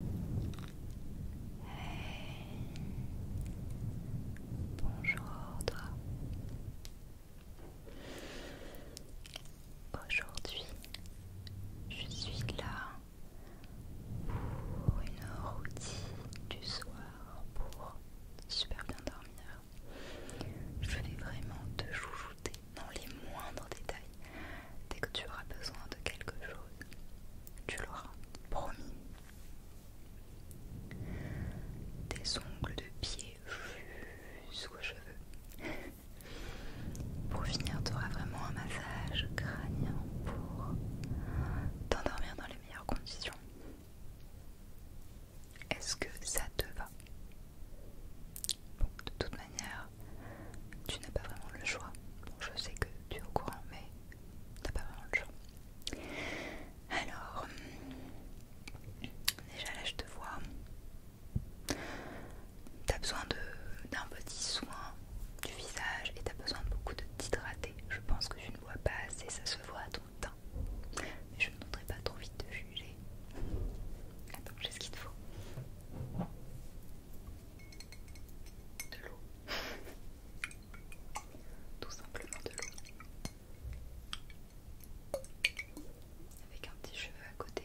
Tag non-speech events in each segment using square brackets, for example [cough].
Bonjour toi. Aujourd'hui, je suis là pour une routine du soir pour super bien dormir. Je vais vraiment te joujouter dans les moindres détails. Dès que tu auras besoin de quelque chose, tu l'auras, promis. Tes ongles de pied jusqu'aux cheveux. Pour finir, tu auras vraiment un massage crânien pour t'endormir dans les meilleures conditions. Est-ce que ça te va De toute tu n'as pas vraiment le choix. je sais que tu es au courant, mais t'as pas vraiment le choix. Alors, déjà là, je te vois. as besoin d'un petit soin du visage et tu as besoin de beaucoup de t'hydrater. Je pense que tu ne bois pas assez, ça se voit à ton teint. Mais je ne voudrais pas trop vite te juger. Attends, j'ai ce qu'il te faut de l'eau. [laughs] Tout simplement de l'eau. Avec un petit cheveu à côté.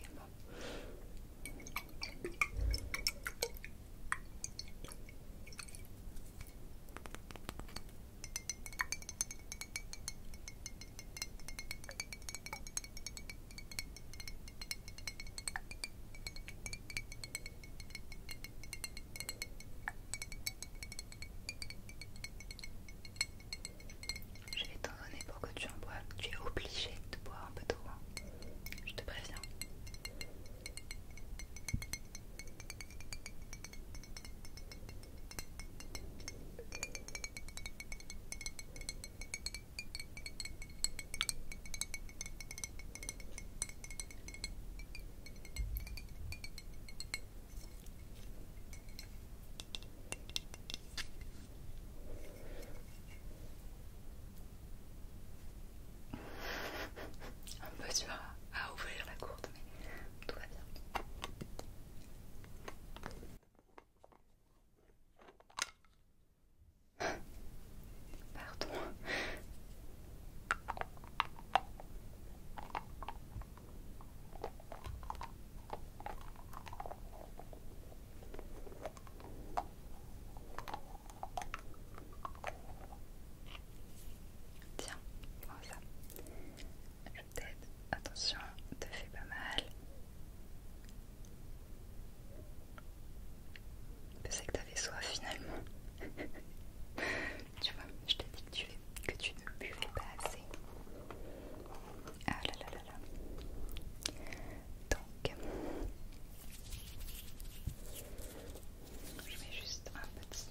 Je vais t'en donner pour que tu en bois. Tu es obligé de boire un peu trop. Hein. Je te préviens. Un peu dur à, ouvrir la courte, mais tout va bien. Pardon. Tiens, prends ça. Je t'aide. Attention, te fais pas mal. C'est que t'avais soif finalement. [laughs] tu vois, je t'ai dit que tu, que tu ne buvais pas assez. Ah là là là là. Donc, je mets juste un petit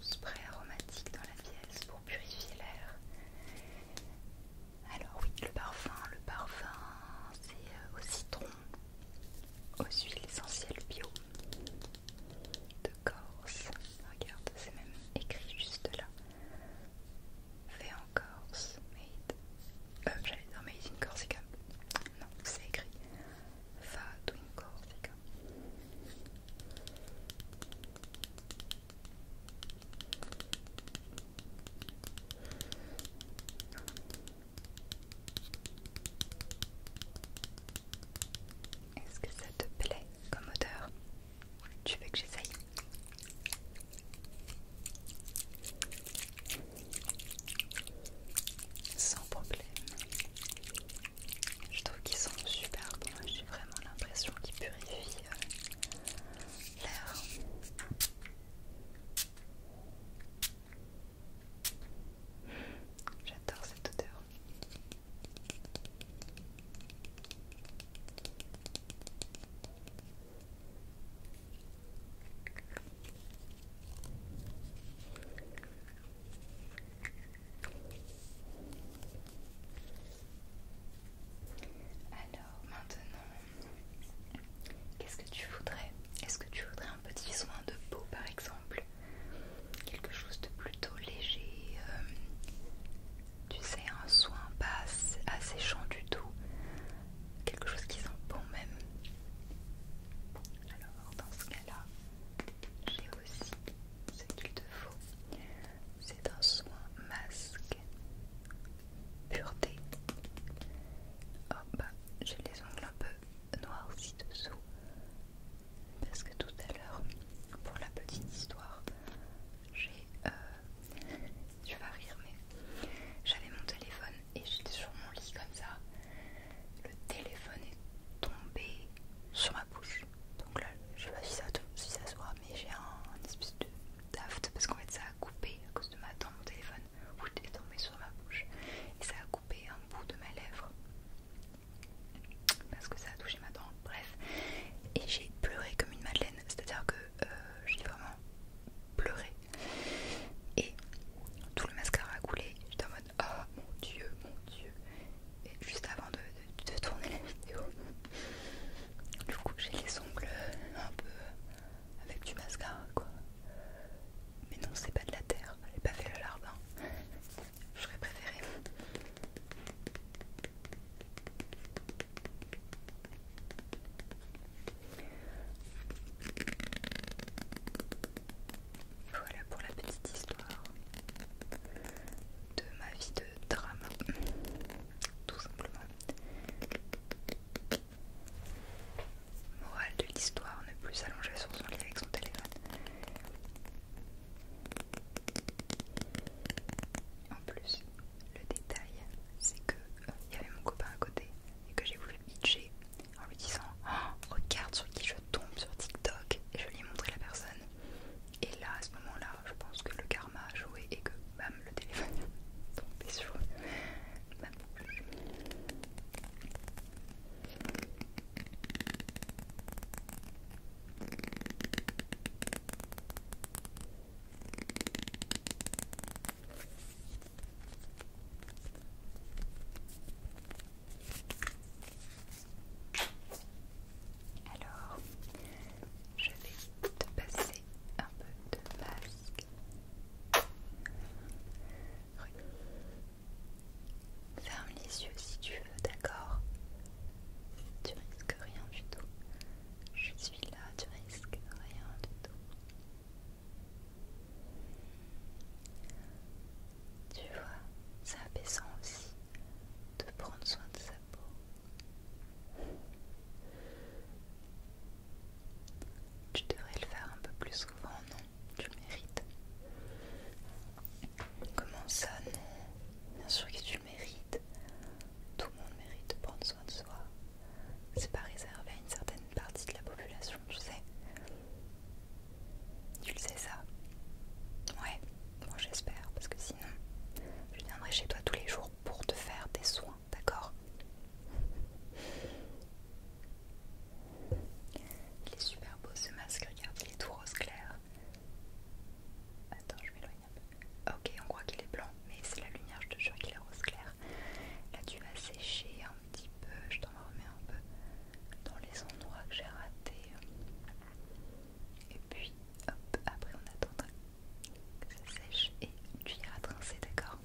spray aromatique dans la pièce pour purifier l'air alors oui, le parfum, le parfum, c'est euh, au citron, aux huiles essentielles bio de Corse. Regarde, c'est même écrit juste là. Fait en Corse, made. Euh, j'allais dire made in Corsica. Non, c'est écrit. fait en Corsica. Est-ce que ça te plaît comme odeur Tu veux que j'essaye Sans problème. Je trouve qu'ils sont super bon, J'ai vraiment l'impression qu'ils purifient euh, l'air. J'adore cette odeur. Alors maintenant, Qu'est-ce que tu voudrais Est-ce que tu voudrais un petit soin de peau par exemple Quelque chose de plutôt léger euh, Tu sais, un soin pas asséchant du tout Quelque chose qui sent bon même Alors dans ce cas-là, j'ai aussi ce qu'il te faut C'est un soin masque pureté. Oh bah j'ai les ongles un peu noirs aussi dessous parce que tout à l'heure pour la petite histoire j'ai euh, tu vas rire mais j'avais mon téléphone et j'étais sur mon lit comme ça le téléphone est tombé sur ma bouche donc là je sais pas si ça, se mais j'ai un, espèce de daft parce qu'en fait ça a coupé à cause de ma dent mon téléphone où est tombé sur ma bouche et ça a coupé un bout de ma lèvre parce que ça a touché ma dent. Bref, et j'ai pleuré comme une madeleine, c'est-à-dire que euh, j'ai vraiment pleuré et tout le mascara a coulé. J'étais en mode oh mon dieu, mon dieu, et juste avant de, de tourner la vidéo. Du coup, j'ai les ongles un peu avec du mascara quoi. Mais non, c'est pas de la terre, elle n'est pas fait le jardin. J'aurais préféré. Voilà pour la petite histoire de ma vie de drame, tout simplement. Morale de l'histoire, ne plus s'allonger sur son lit avec son téléphone. En plus, le détail, c'est que euh, il y avait mon copain à côté et que j'ai voulu pitcher en lui disant oh, Regarde sur qui je tombe sur TikTok et je lui ai montré la personne. Et là, à ce moment-là, je pense que le karma a joué et que bam, le téléphone tombait [laughs] tombé sur alors, je vais te passer un peu de base. Ferme les yeux si tu veux, d'accord Tu risques rien du tout. Je suis là, tu risques rien du tout. Tu vois, c'est apaisant aussi de prendre soin de sa peau. Tu devrais le faire un peu plus souvent, non Tu le mérites. Comment ça, non Bien sûr que tu le mérites. Tout le monde mérite de prendre soin de soi. C'est pas réservé à une certaine partie de la population, tu sais. Tu le sais ça Ouais, moi j'espère, parce que sinon, je viendrai chez toi tous les jours pour te faire des soins d'accord Il est super beau ce masque, regarde, il est tout rose clair. Attends, je m'éloigne un peu. Ok, on croit qu'il est blanc, mais c'est la lumière, je te jure qu'il est rose clair. Là, tu vas sécher un petit peu, je t'en remets un peu dans les endroits que j'ai ratés. Et puis, hop, après on attendra ça sèche et tu iras trincer, d'accord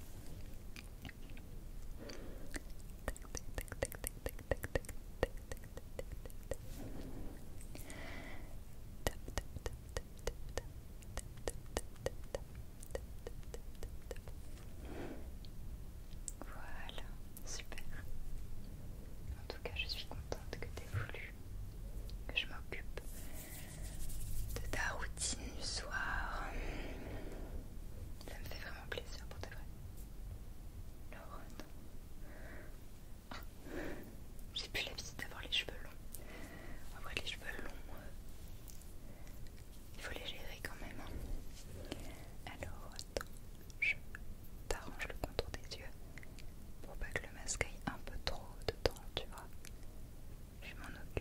voilà, super. En tout cas, je suis contente que tu aies voulu que je m'occupe de ta routine du soir. Ça me fait vraiment plaisir pour toi. j'ai plus l'habitude d'avoir les cheveux longs. vrai les cheveux longs, euh, il faut les gérer quand même. Hein. Alors attends, je t'arrange le contour des yeux pour pas que le masque aille un peu trop dedans, tu vois. Je m'en occupe.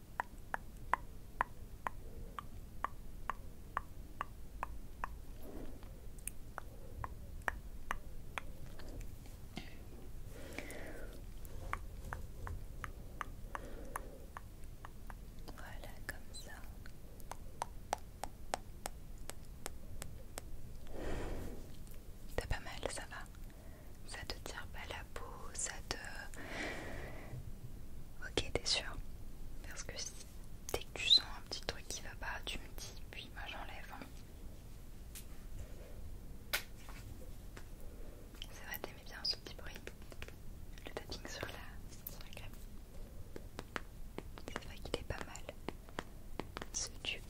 Voilà, comme ça. T'as pas mal, ça va ça te tire pas la peau, ça te. Ok, t'es sûr Parce que dès que tu sens un petit truc qui va pas, tu me dis, puis moi j'enlève. Hein. C'est vrai, t'aimais bien ce petit bruit. Le tapping sur la, sur la crème. C'est vrai qu'il est pas mal. Ce tube.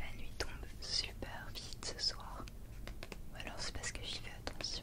La nuit tombe super vite ce soir. Ou alors c'est parce que j'y fais attention.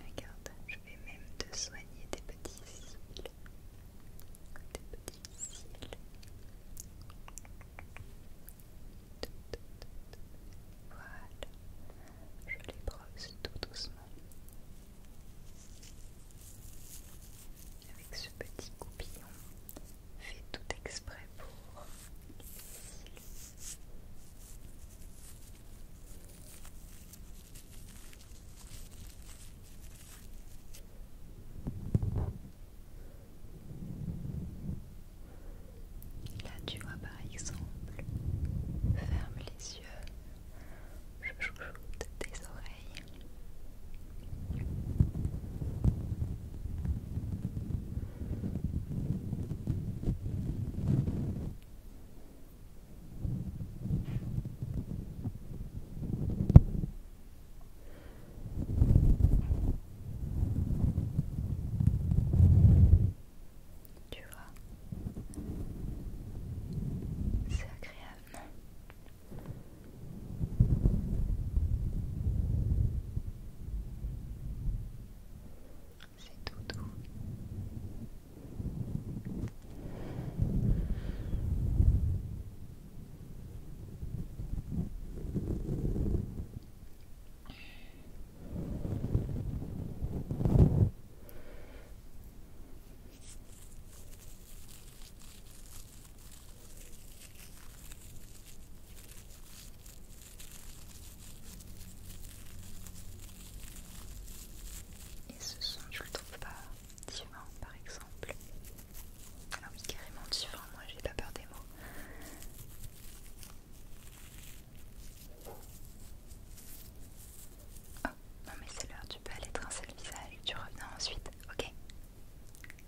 Regarde, je vais même te soigner tes petits cils. petits cils. Voilà, je les brosse tout doucement avec ce petit coupillon fait tout exprès pour les cils. Là tu vois par exemple, ferme les yeux, je chouchoute tes oreilles. Tu vois, c'est agréable, c'est tout et ce son, je le trouves pas divin par exemple. Ah oui, carrément divin, moi j'ai pas peur des mots. Oh, non mais c'est l'heure, tu peux aller te le visage tu reviens ensuite, ok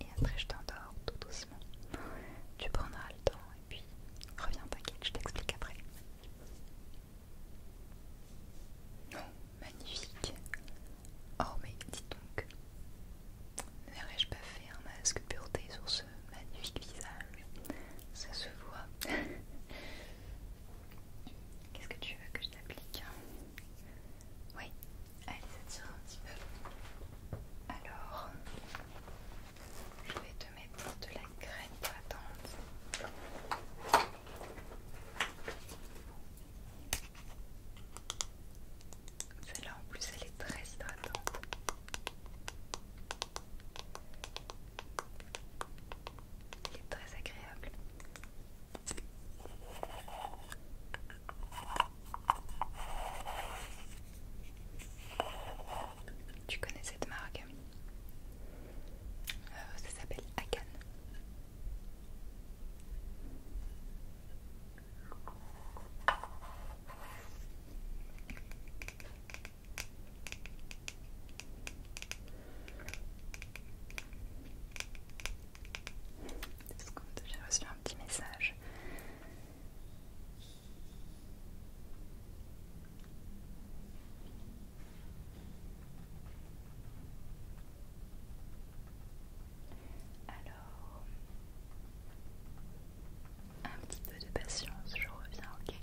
Et après je t'endors tout doucement. Tu prendras le temps et puis reviens, paquet, je t'explique après. Non, magnifique. Oh, mais dis donc, verrais je pas faire un masque pureté sur ce magnifique visage Ça se voit. [laughs] Qu'est-ce que tu veux que je t'applique Oui, allez, ça tire un petit peu. Alors, je vais te mettre de la graine hydratante. Celle-là en plus elle est très hydratante. Elle est très agréable. Tu connais cette marque euh, ça s'appelle Akan. J'ai reçu un petit message. Alors, un petit peu de patience, je reviens, ok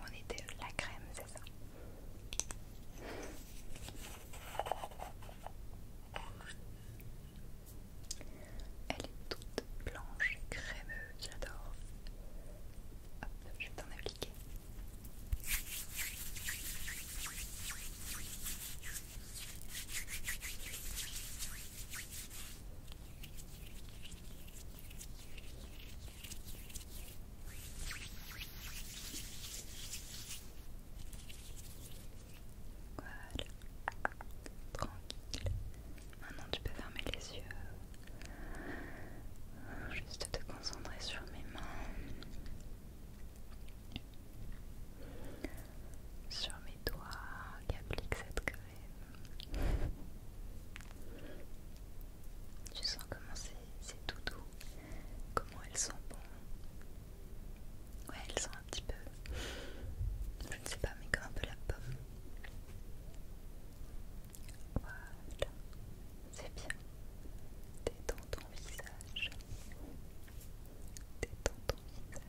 on était la crème, c'est ça elle est toute blanche et crémeuse, j'adore. Hop, je vais t'en appliquer. Voilà. Tranquille. Maintenant tu peux fermer les yeux. Juste te concentrer sur mes mains. Sur mes doigts qui appliquent cette crème. Tu sens comment c'est tout doux, comment elles sont bonnes. Ouais, elles sont un petit peu. Je ne sais pas, mais comme un peu la pomme. Voilà, c'est bien. Détends ton visage. Détends ton visage.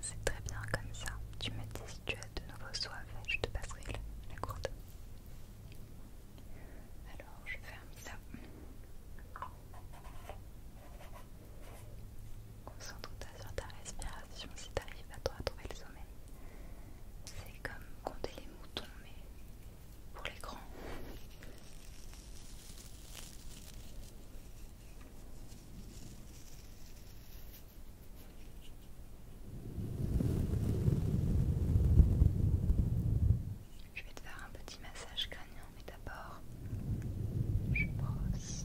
C'est très bien comme ça. Tu me dis si tu as de nouveau soif je te passerai la, courte. Alors je ferme ça. Concentre-toi sur ta respiration si tu arrives à toi à trouver le sommeil. C'est comme compter les moutons, mais pour les grands. Je vais te faire un petit massage crânien, mais d'abord, je brosse.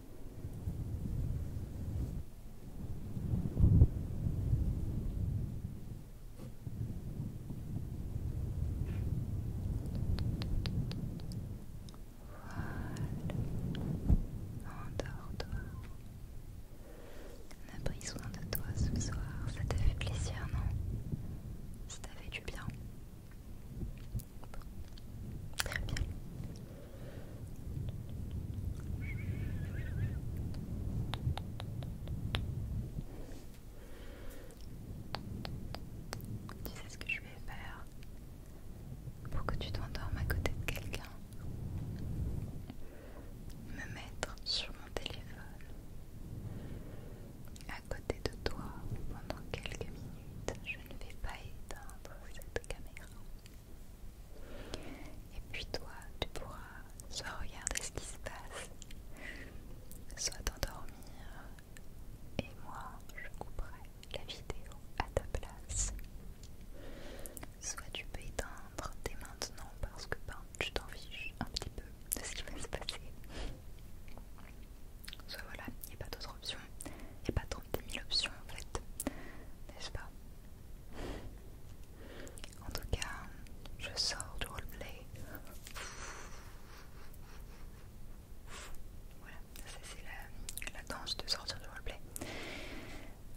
Endors-toi. On a pris soin de toi ce soir. Ça t'a fait plaisir, non Ça t'a fait du bien. Très bien. Tu sais ce que je vais faire pour que tu t'endormes à côté de quelqu'un. Me mettre sur mon téléphone à côté de toi pendant quelques minutes. Je ne vais pas éteindre caméra. Et puis toi, tu pourras soit regarder ce qui se passe, soit t'endormir. Et moi, je couperai la vidéo à ta place. Soit tu peux éteindre dès maintenant parce que ben, tu t'en fiches un petit peu de ce qui va se passer. Soit voilà, il n'y a pas d'autre option, et pas trop des mille options en fait, n'est-ce pas En tout cas, je sors du roleplay. Voilà, ça c'est la, danse de sortir du roleplay.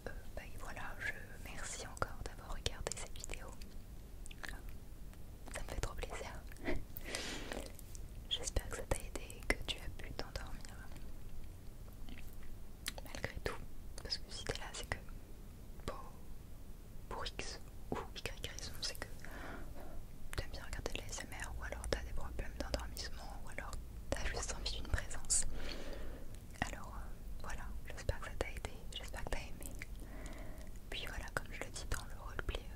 Euh, bah, et voilà, je merci encore d'avoir regardé cette vidéo. Ça me fait trop plaisir. J'espère que ça t'a aidé et que tu as pu t'endormir. Malgré tout, parce que si t'es là, c'est que pour, X ou Y raison, c'est que t'aimes bien regarder les l'ASMR ou alors t'as des problèmes d'endormissement ou alors t'as juste envie d'une présence. Alors euh, voilà, j'espère que ça t'a aidé, j'espère que t'as aimé. Puis voilà, comme je le dis dans le roleplay,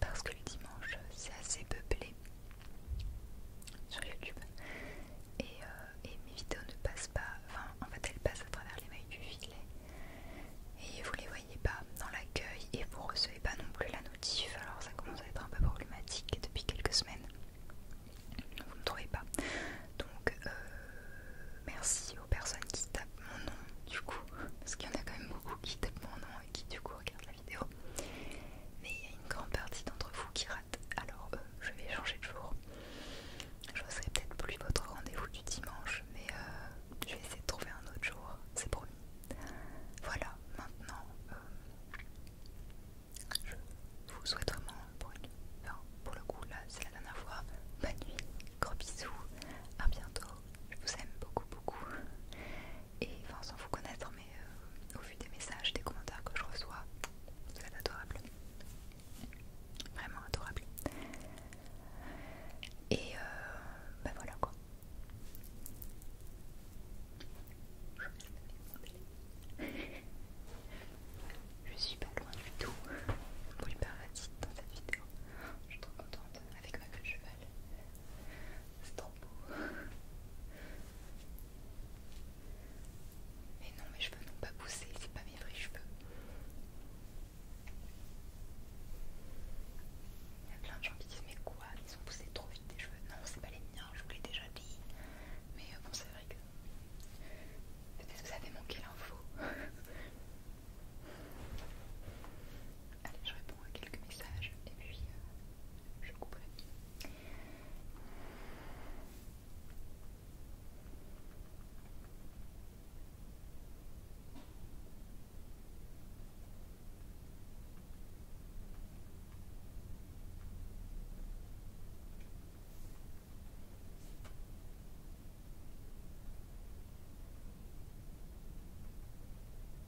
parce que le dimanche c'est assez peuplé sur YouTube euh, et, mes vidéos ne passent pas, enfin en fait elles passent à travers les mailles du filet et vous les voyez pas dans l'accueil et vous recevez pas non plus la notif alors ça commence à être un peu problématique depuis quelques semaines vous ne trouvez pas donc euh, merci aux personnes qui tapent mon nom du coup parce qu'il y en a quand même beaucoup qui tapent mon nom et qui du coup regardent vidéo. Mais il y a une grande partie d'entre vous qui rate, alors euh, je vais changer de jour. Je ne serai peut-être plus votre rendez-vous du dimanche, mais euh, je vais essayer de trouver un autre jour, c'est promis. Voilà, maintenant, euh, je vous souhaite vraiment pour pour le coup, là, c'est la dernière fois. Bonne nuit, gros bisous, à bientôt. Je vous aime beaucoup, beaucoup et enfin sans vous connaître mais euh, au vu des messages, des commentaires que je reçois, vous adorable. Vraiment adorable. Et euh, ben voilà quoi. Je suis pas loin du tout pour les dans cette vidéo. Je suis trop contente avec ma queue de cheval c'est trop beau. Mais non, mes cheveux n'ont pas poussé, c'est pas mes vrais cheveux. Il y a plein de gens qui disent mais quoi, ils ont poussé trop vite tes cheveux. Non, c'est pas les miens, je vous l'ai déjà dit. Mais euh, bon, c'est vrai que peut-être que vous avez manqué l'info. [laughs] Allez, je quelques messages et puis euh, je couperai.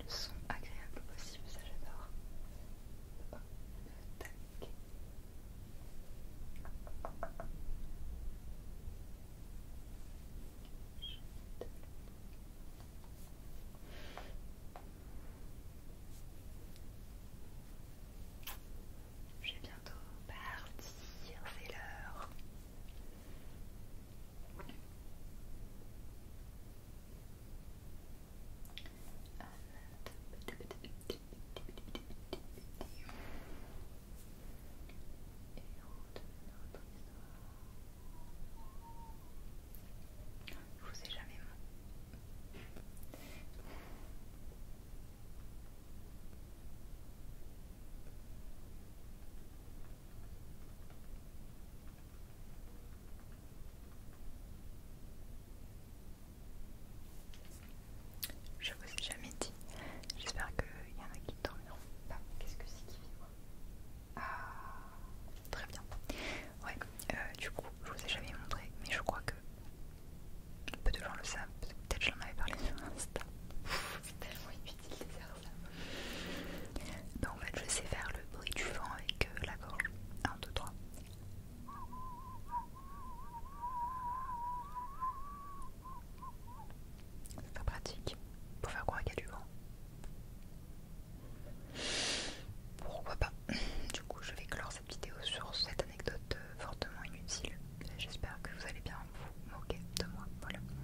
le son agréable possible, ça j'adore. J'ai Je vais bientôt partir, c'est l'heure. Je vous ai jamais je vous ai jamais dit. J'espère qu'il y en a qui dormiront pas. Qu'est-ce que c'est qui vibre Ah, très bien. Ouais, euh, du coup, je vous ai jamais montré, mais je crois que peu de gens le savent. Peut-être que avais parlé sur Insta c'est tellement inutile de faire ça. Donc en fait, je sais faire le bruit du vent avec euh, la gorge. 1, 2, 3. C'est pas pratique pour faire croire qu'il y a du vent. Pourquoi pas Du coup, je vais clore cette vidéo sur cette anecdote euh, fortement inutile. J'espère que vous allez bien vous moquer de moi. Voilà.